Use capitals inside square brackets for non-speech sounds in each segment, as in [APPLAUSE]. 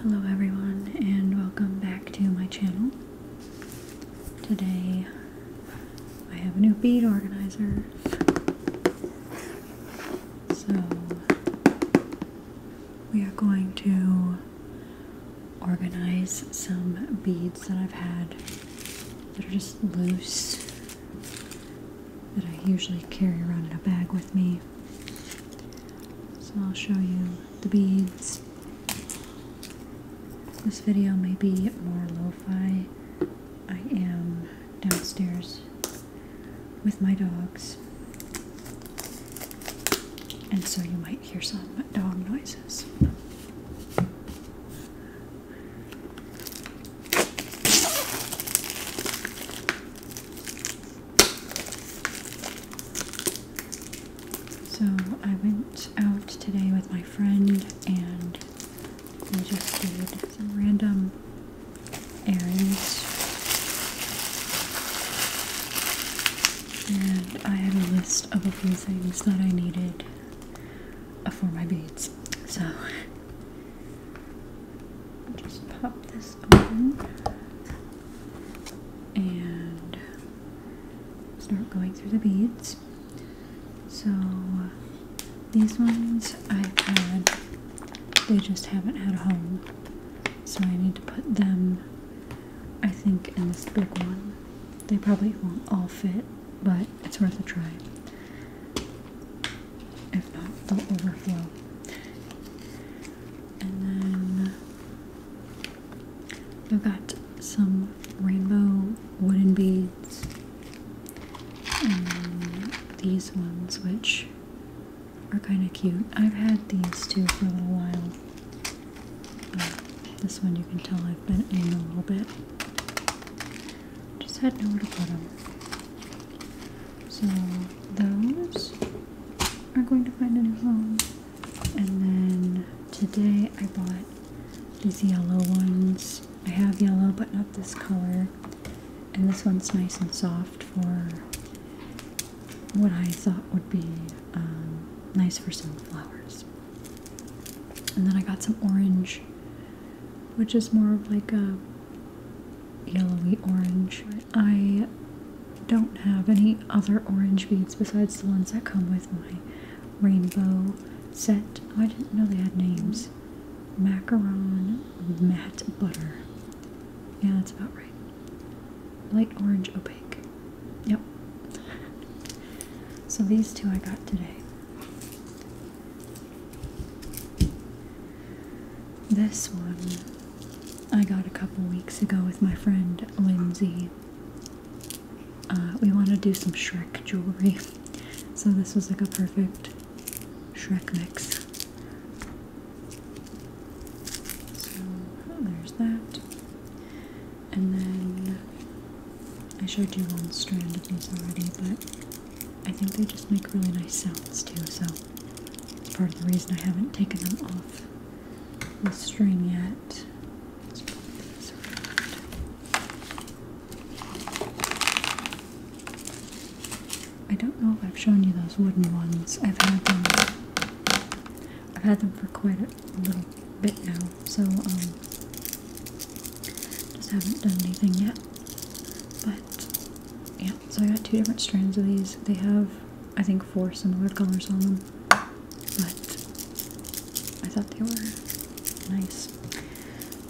Hello everyone and welcome back to my channel. Today I have a new bead organizer. So we are going to organize some beads that I've had that are just loose that I usually carry around in a bag with me. So I'll show you the beads. This video may be more lo-fi. I am downstairs with my dogs. And so you might hear some dog noises. So I went out today with my friend and we just did some random errands. And I had a list of a few things that I needed uh, for my beads. So [LAUGHS] just pop this and uh, start going through the beads. So uh, these ones I've had, they just haven't had a home. So I need to put them, I think, in this big one. They probably won't all fit, but it's worth a try. If not, they'll overflow. And then I've got some rainbow wooden beads. And these ones, which are kind of cute. I've had these too for a little while. Uh, this one you can tell I've been in a little bit. Just had nowhere to put them. So those are going to find a new home. And then today I bought these yellow ones. I have yellow but not this color. And this one's nice and soft for what I thought would be um, nice for some flowers. And then I got some orange, which is more of like a yellowy orange. I don't have any other orange beads besides the ones that come with my rainbow set. Oh, I didn't know they had names. Macaron matte butter. Yeah, that's about right. Light orange opaque. Yep. So these two I got today. This one I got a couple weeks ago with my friend Lindsay. Uh, we want to do some Shrek jewelry, [LAUGHS] so this was like a perfect Shrek mix. So oh, there's that. And then I showed you one strand of these already, but I think they just make really nice sounds too, so it's part of the reason I haven't taken them off the string yet. I don't know if I've shown you those wooden ones. I've had them I've had them for quite a little bit now, so um just haven't done anything yet. But yeah, so I got two different strands of these. They have, I think, four similar colors on them, but I thought they were nice.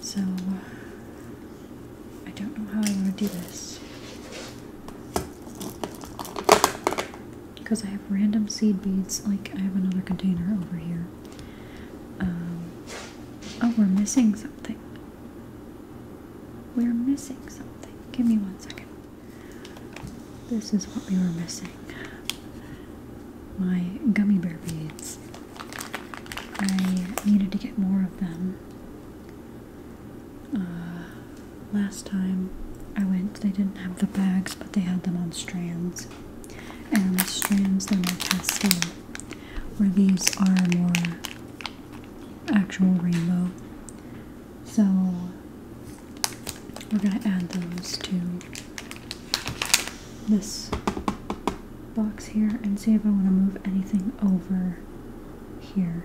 So I don't know how I want to do this because I have random seed beads. Like I have another container over here. Um, oh, we're missing something. We're missing something. Give me one second. This is what we were missing. My gummy bear beads. I needed to get more of them. Uh, last time I went, they didn't have the bags, but they had them on strands. And the strands, they're more pastel, where these are more actual rainbow. So we're going to add those to this box here and see if I want to move anything over here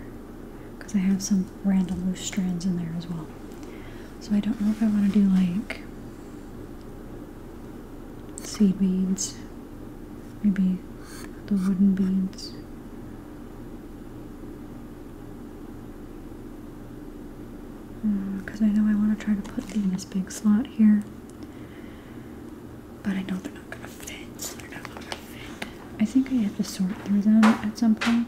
because I have some random loose strands in there as well. So I don't know if I want to do like seed beads maybe the wooden beads. Because uh, I know I want to try to put them in this big slot here, but I know they're not gonna fit. they're not gonna fit. I think I have to sort through them at some point.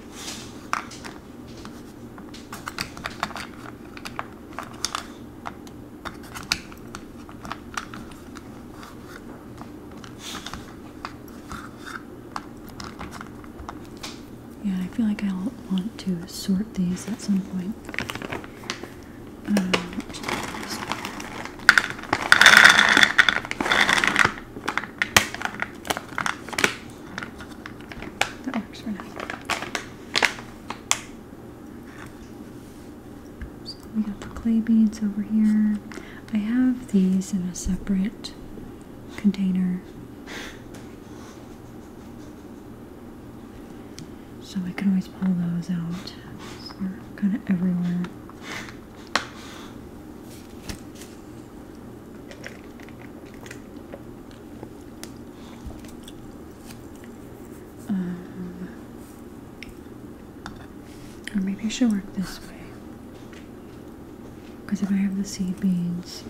Yeah, I feel like I'll want to sort these at some point. Um, that works for now. we got the clay beads over here. I have these in a separate container. So I can always pull those out. they're kind of everywhere. Um, or maybe I should work this way. Because if I have the seed beans,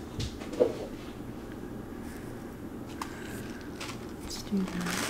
let's do that.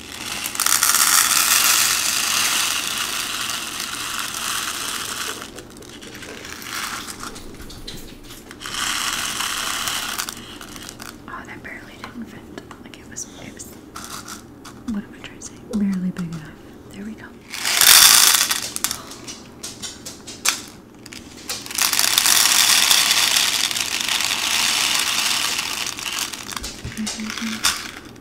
Oh, that barely didn't fit. Like it was, it was. What am I trying to say? Barely big enough. There we go. Mm -hmm.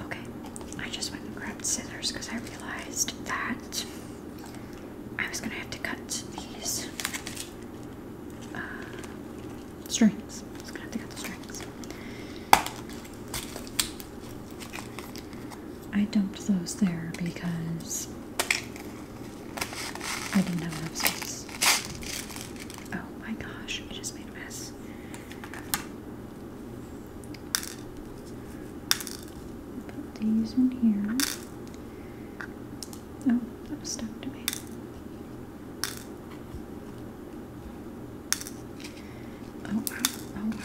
Okay, I just went and grabbed scissors because I realized that I was gonna have to cut these uh, strings. I strings. I dumped those there because I didn't have enough space. Oh my gosh, I just made a mess. Put these in here. Oh, that was stuck to me. Oh, oh, oh.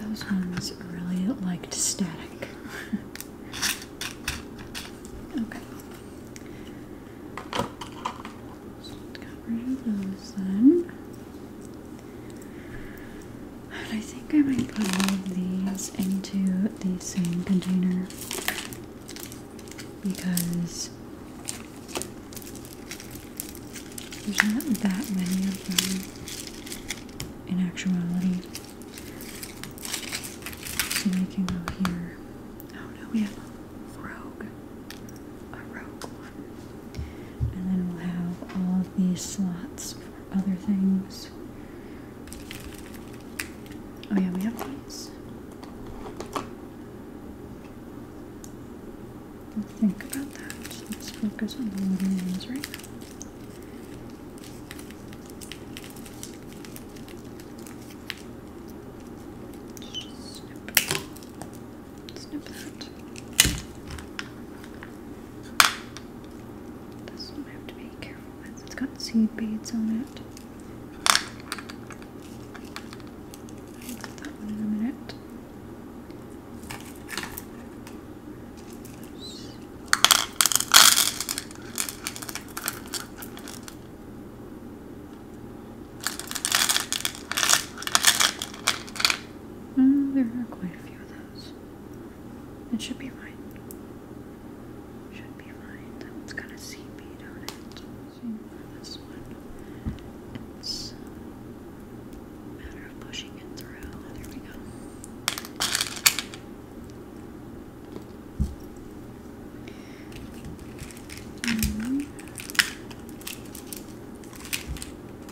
Those ones really liked static. [LAUGHS] okay. let's get rid of those then. I think I might put all of these into the same container because there's not that many of them in actuality. So they can go here. Oh no, we have a rogue. A rogue and then we'll have all of these slots for other things. Oh yeah, we have these. We'll think about that. Let's focus on the little ones right now snip that. This one I have to be careful with. It's got seed beads on it. that one in a minute. Mm, there are quite a few of those. It should be fine. Should be fine. That has got a CB, do it? this one. It's uh, matter of pushing it through. Oh, there we go. -hmm.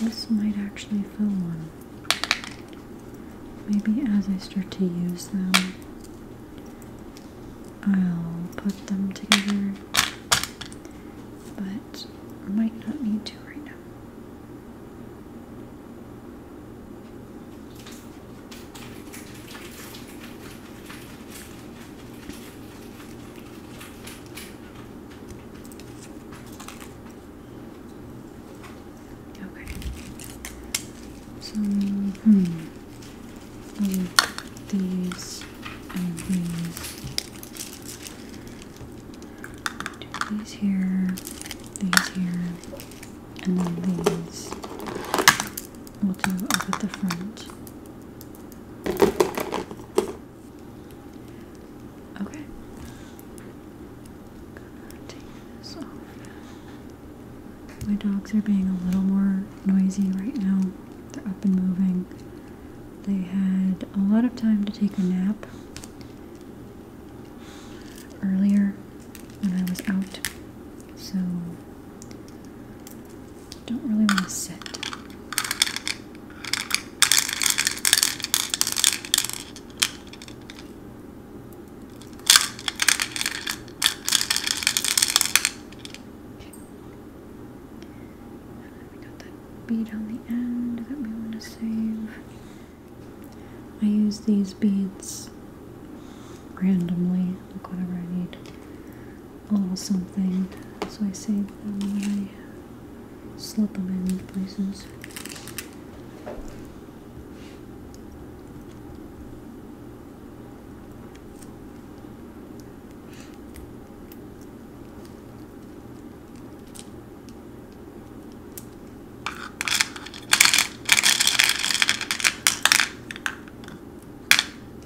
This might actually fill one. Maybe as I start to use them, I'll put them together, but I might not need to right now. Okay. So, hmm. With these and these. Do these here, these here, and then these. We'll do up at the front. Okay. My dogs are being a little more noisy right now. They're up and moving. They had a lot of time to take a nap earlier when I was out. So don't really want to sit. got that bead on the end that we want to save. I use these beads randomly, like whatever I need a something, so I save them and I slip them in places.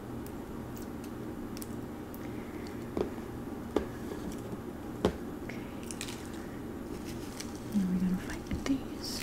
Okay. Now we're gonna find these.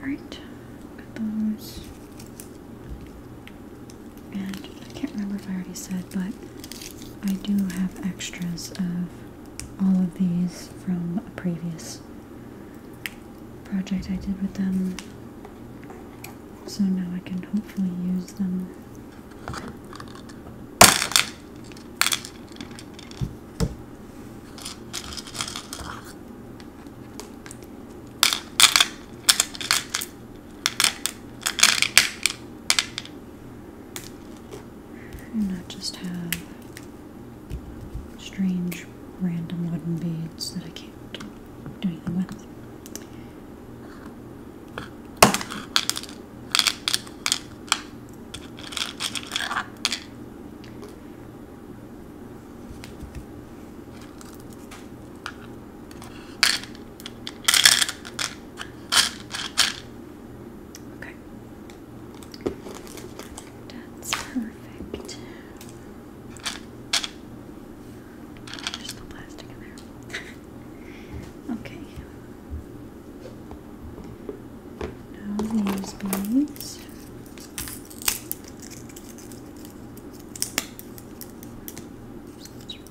Alright, got those. And I can't remember if I already said, but I do have extras of all of these from a previous project I did with them. So now I can hopefully use them. And I just have strange, random wooden beads that I can't do anything with. Okay. That's perfect. There's no plastic in there. [LAUGHS] okay. Now these beads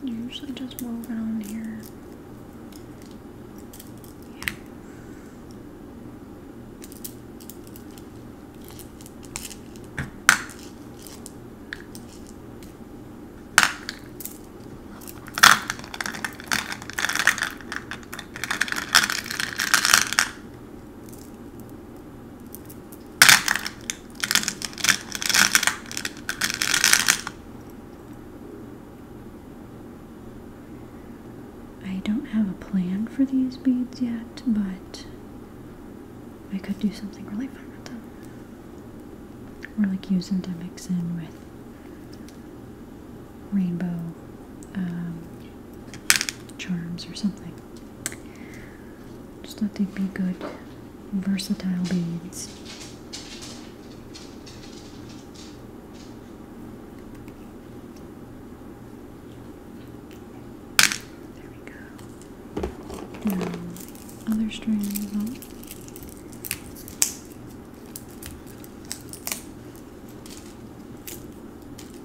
usually just move around here. Yeah. I don't have a plan for these beads yet, but I could do something really fun with them. Or like use them to mix in with rainbow um, charms or something. Just thought they'd be good, versatile beads. There we go. Now, other strings on.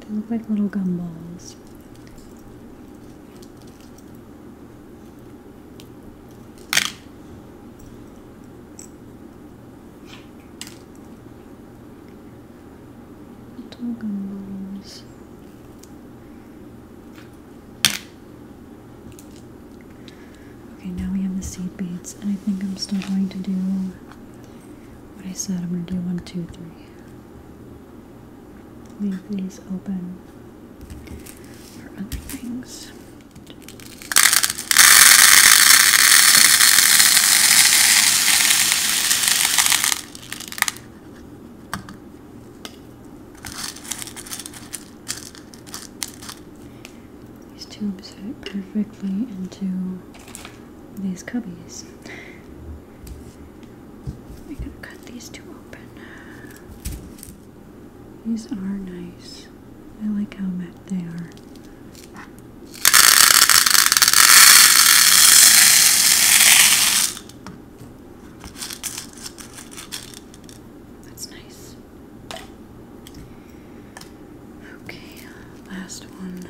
They look like little gumballs. Little gumballs. Okay, now we have the seed beads, and I think I'm still going to do what I said. I'm going to do one, two, three. Leave these open for other things. These tubes fit perfectly into these cubbies. I'm gonna cut these two open. These are nice. I like how matte they are. That's nice. Okay, last one.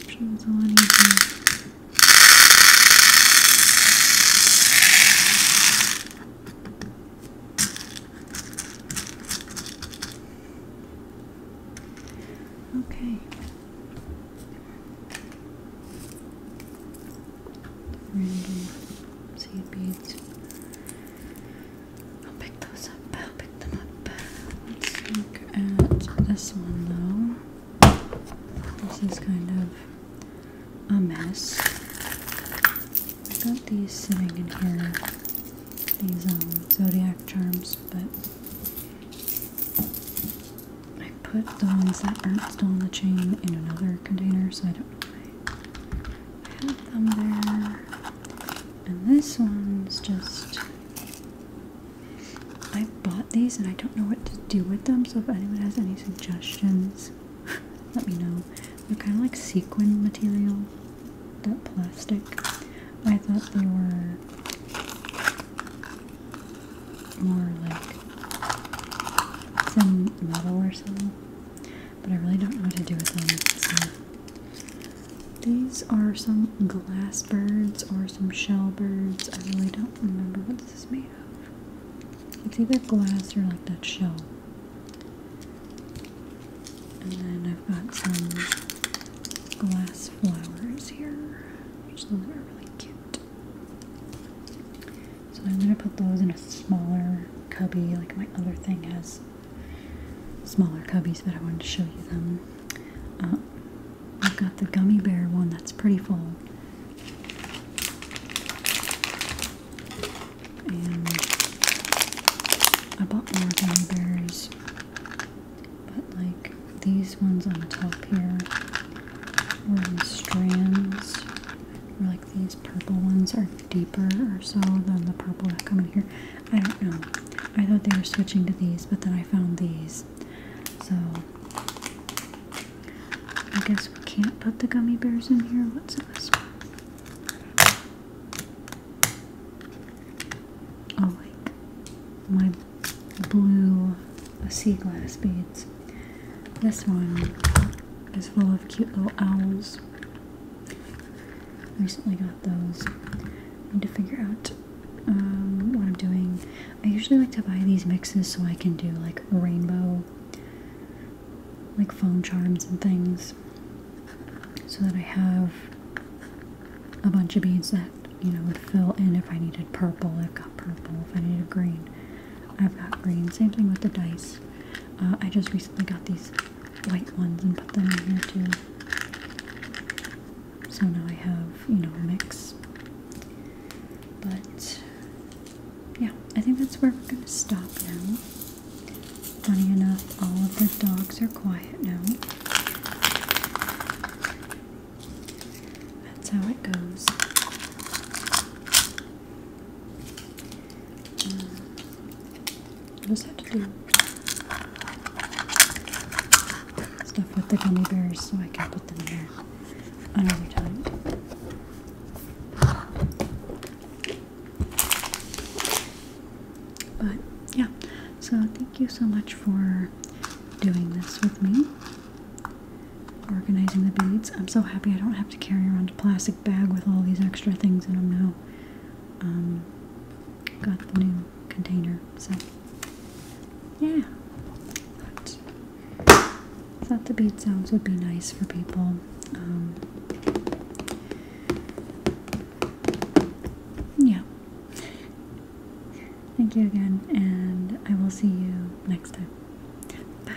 Actually, it's Okay. Random seed beads. I'll pick those up. I'll pick them up. Let's look at this one though. This is kind of a mess. I got these sitting in here. These um, zodiac charms, but I put the ones that aren't still on the chain in another container, so I don't know why I have them there. And this one's just. I bought these and I don't know what to do with them, so if anyone has any suggestions, [LAUGHS] let me know. They're kind of like sequin material, that plastic. I thought they were more like some metal or something but I really don't know what to do with them. These are some glass birds or some shell birds. I really don't remember what this is made of. It's either glass or like that shell. And then I've got some glass flowers here, which are really cute. So I'm gonna put those in a smaller cubby, like my other thing has smaller cubbies, but I wanted to show you them. Uh, I've got the gummy bear one that's pretty full. And I bought more gummy bears, but like these ones on top here were in strands. Or like these purple ones are deeper or so than the purple that come in here. I don't know. I thought they were switching to these, but then I found these. So I guess we can't put the gummy bears in here. What's this one? Oh, my blue sea glass beads. This one is full of cute little owls recently got those. I need to figure out um, what I'm doing. I usually like to buy these mixes so I can do like rainbow, like foam charms and things, so that I have a bunch of beads that you know would fill in if I needed purple. I've got purple. If I needed green, I've got green. Same thing with the dice. Uh, I just recently got these white ones and put them in here too. So now I have, you know, a mix. But yeah, I think that's where we're gonna stop now. Funny enough, all of the dogs are quiet now. That's how it goes. Just have to do stuff with the gummy bears so I can put them there another time. But yeah, so thank you so much for doing this with me. Organizing the beads. I'm so happy I don't have to carry around a plastic bag with all these extra things in them now um, got the new container. So, yeah. But thought the beat sounds would be nice for people. Um. yeah. Thank you again, and I will see you next time. Bye.